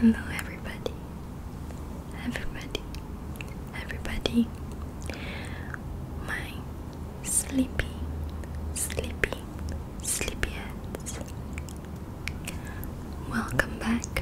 Hello, everybody, everybody, everybody. My sleepy, sleepy, sleepyheads. Welcome back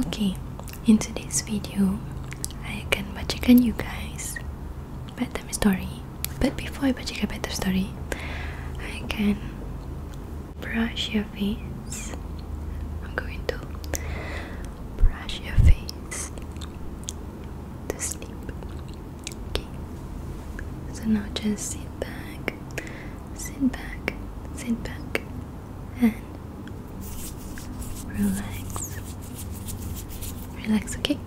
okay in today's video I akan bacakan you guys bedtime story but before I bacakan bedtime story I can brush your face I'm going to brush your face to sleep okay so now just sit back sit back sit back and relax. Relax, okay?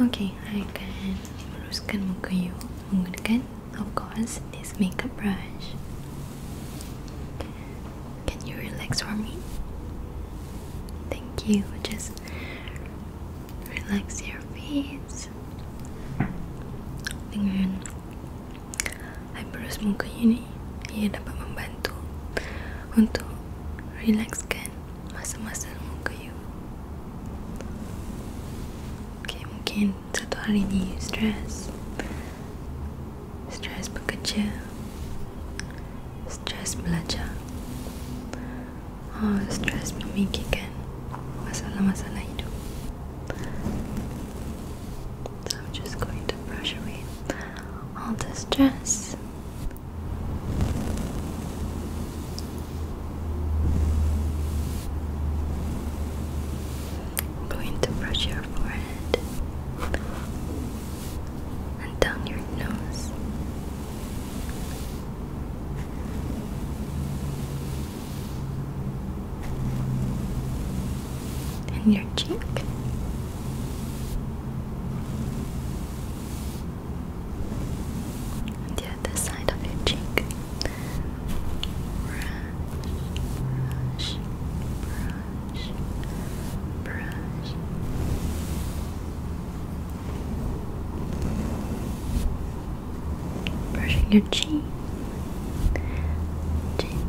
Okay, I akan luruskan muka you menggunakan of course this makeup brush. Can you relax for me? Thank you. Just relax your face. Dengan Hyperos semoga ini ia dapat membantu untuk relaxkan masa-masa muka you. Okay, mungkin satu hari ni you stress. Stress bekerja. Stress belajar. Oh, stress memikirkan masalah-masalah hidup. So I'm just going to brush away all the stress. I'm going to brush your forehead and down your nose and your cheek. And the side of your cheek. Brush, brush, brush, brush. Brushing your cheek. Chin,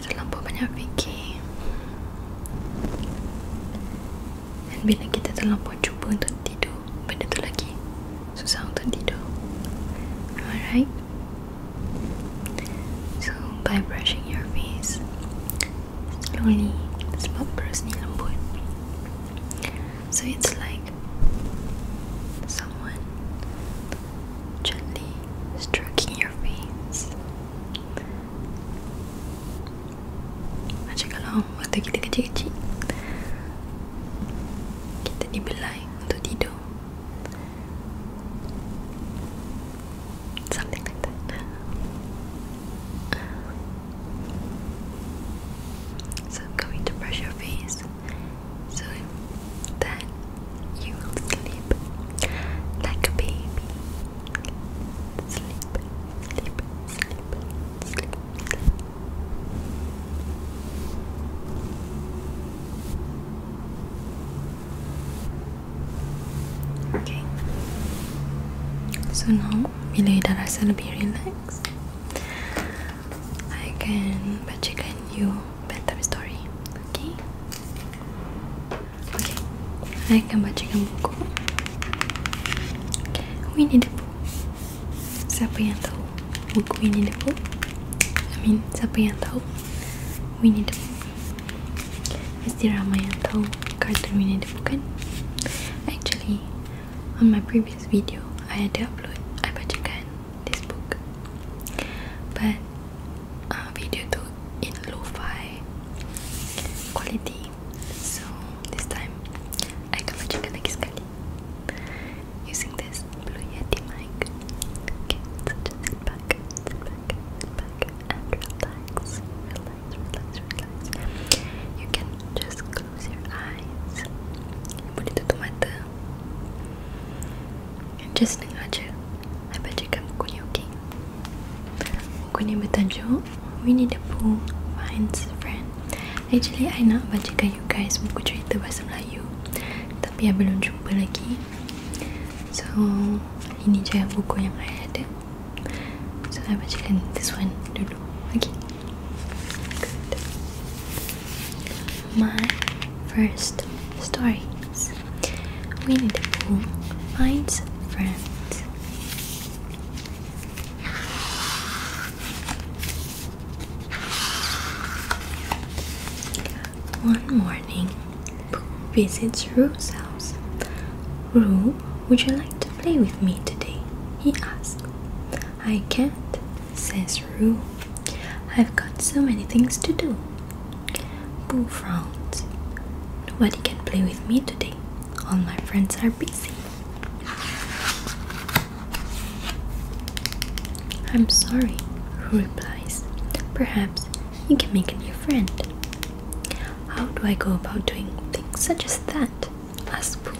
kita terlalu banyak fikir dan bila kita terlalu cuba untuk tidur benda tu lagi susah untuk tidur alright so by brushing your face slowly sebab berus ni lembut so it's like someone gently stroking your face. Macam kalau waktu kita kecil-kecil Kita dibelai untuk tidur Something like that So I'm going to brush your face so then you will sleep like a baby. Sleep, sleep, sleep, sleep, Okay. So now bila you dah rasa lebih relax, I can bacakan you bedtime story Okay Okay Saya akan bacakan buku Okay Winnie the Pooh Siapa yang tahu Buku Winnie the Pooh I mean Siapa yang tahu Winnie the Pooh okay. Mesti ramai yang tahu Kartun Winnie the Pooh Actually On my previous video I ada upload I bacakan This book But Uh, video to in lo-fi quality so this time I gonna lagi sekali using this Blue Yeti mic okay just sit back sit back sit back and relax relax relax you can just close your eyes boleh tutup mata Just ni aja. Saya bacakan buku ni, okey? Buku ni bertajuk Winnie the Pooh Finds a Friend. Actually, I nak bacakan you guys buku cerita bahasa Melayu. Tapi, I belum jumpa lagi. So, ini je buku yang I ada. So, I bacakan this one dulu. Okay. Good. My first stories. Winnie the Pooh finds friends. One morning, Pooh visits Roo's house. Roo, would you like to play with me today? He asks. I can't, says Roo. I've got so many things to do. Boo frowned. Nobody can play with me today. All my friends are busy. I'm sorry, Who replies. Perhaps you can make a new friend. How do I go about doing things such as that? asks Boo.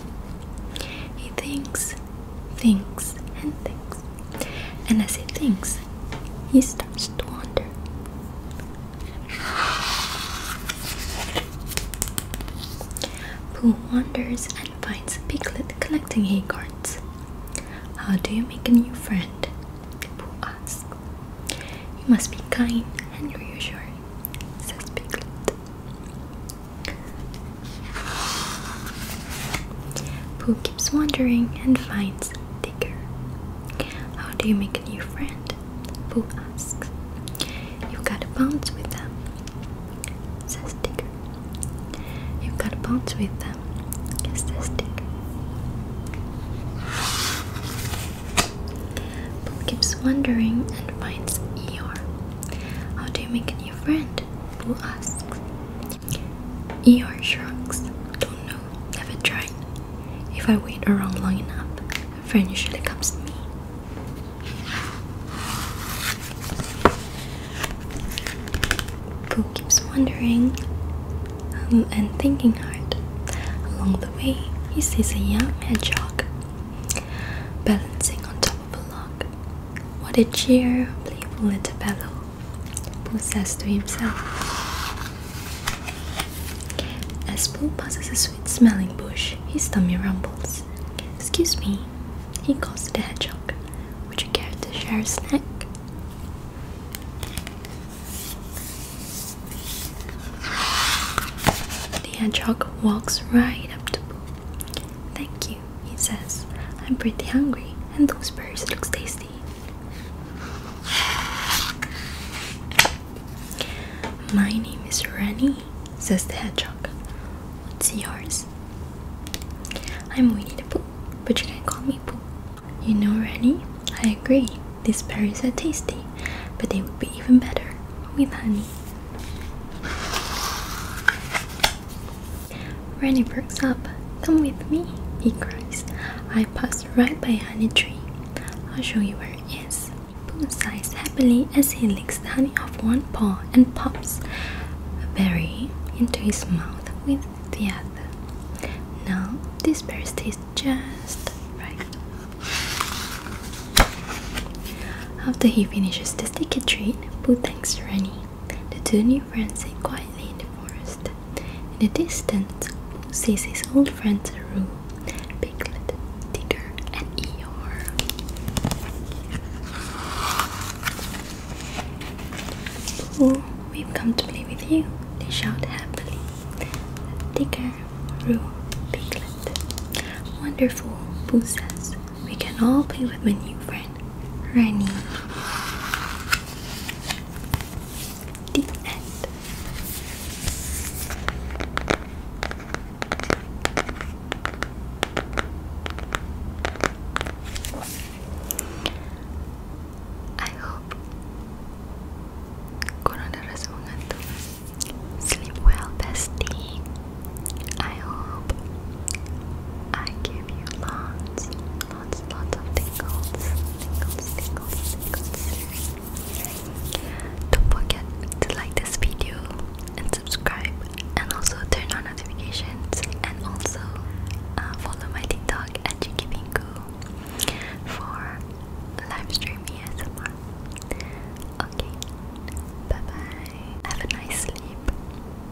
He thinks, thinks, and thinks. And as he thinks, he starts to wonder. Pooh wanders and finds Piglet collecting hay How do you make a new friend? Pooh asks. You must be kind and reassuring, says Piglet. Pooh keeps wandering and finds Digger. How do you make a new friend? Pooh asks. You have gotta bounce with them, says Digger. You have gotta bounce with them, says Digger. Pooh keeps wandering and finds Eeyore. How do you make a new friend? Pooh asks. E.R. shrugs. Don't know. Never tried. If I wait around long enough, a friend usually comes to me. Pooh keeps wandering um, and thinking hard. Along the way, he sees a young hedgehog balancing on top of a log. What a cheer, playful little fellow! possessed to himself. As Pooh passes a sweet smelling bush, his tummy rumbles. Excuse me, he calls to the hedgehog. Would you care to share a snack? The hedgehog walks right up to Pooh. Thank you he says. I'm pretty hungry, and those berries look tasty. My name is Rennie, says the hedgehog. What's yours? I'm Winnie the Pooh, but you can call me Pooh. You know, Rennie, I agree. These berries are tasty, but they would be even better with honey. Renny perks up. Come with me, he cries. I passed right by a honey tree. I'll show you where it is. Boom sighs happily as he licks the honey off one paw and pops a berry into his mouth with the other. Now this berry tastes just right. After he finishes the sticky treat, Boo thanks Renny. The two new Francie quietly in the forest. In the distance sees his old friends Roo, Piglet, Digger, and Eeyore. Oh, we've come to play with you, they shout happily. Digger, Roo, Piglet. Wonderful, Boo says. We can all play with my new friends. Rennie. The end. I hope coronavirus mengantuk. Sleep well, bestie. I hope I give you lots lots, lots of tingles, tingles, tingles, tingles. Don't forget to like this video and subscribe, and also turn on notifications, and also uh, follow my TikTok at Jikibinku for live streaming ASMR. Okay, bye bye. Have a nice sleep.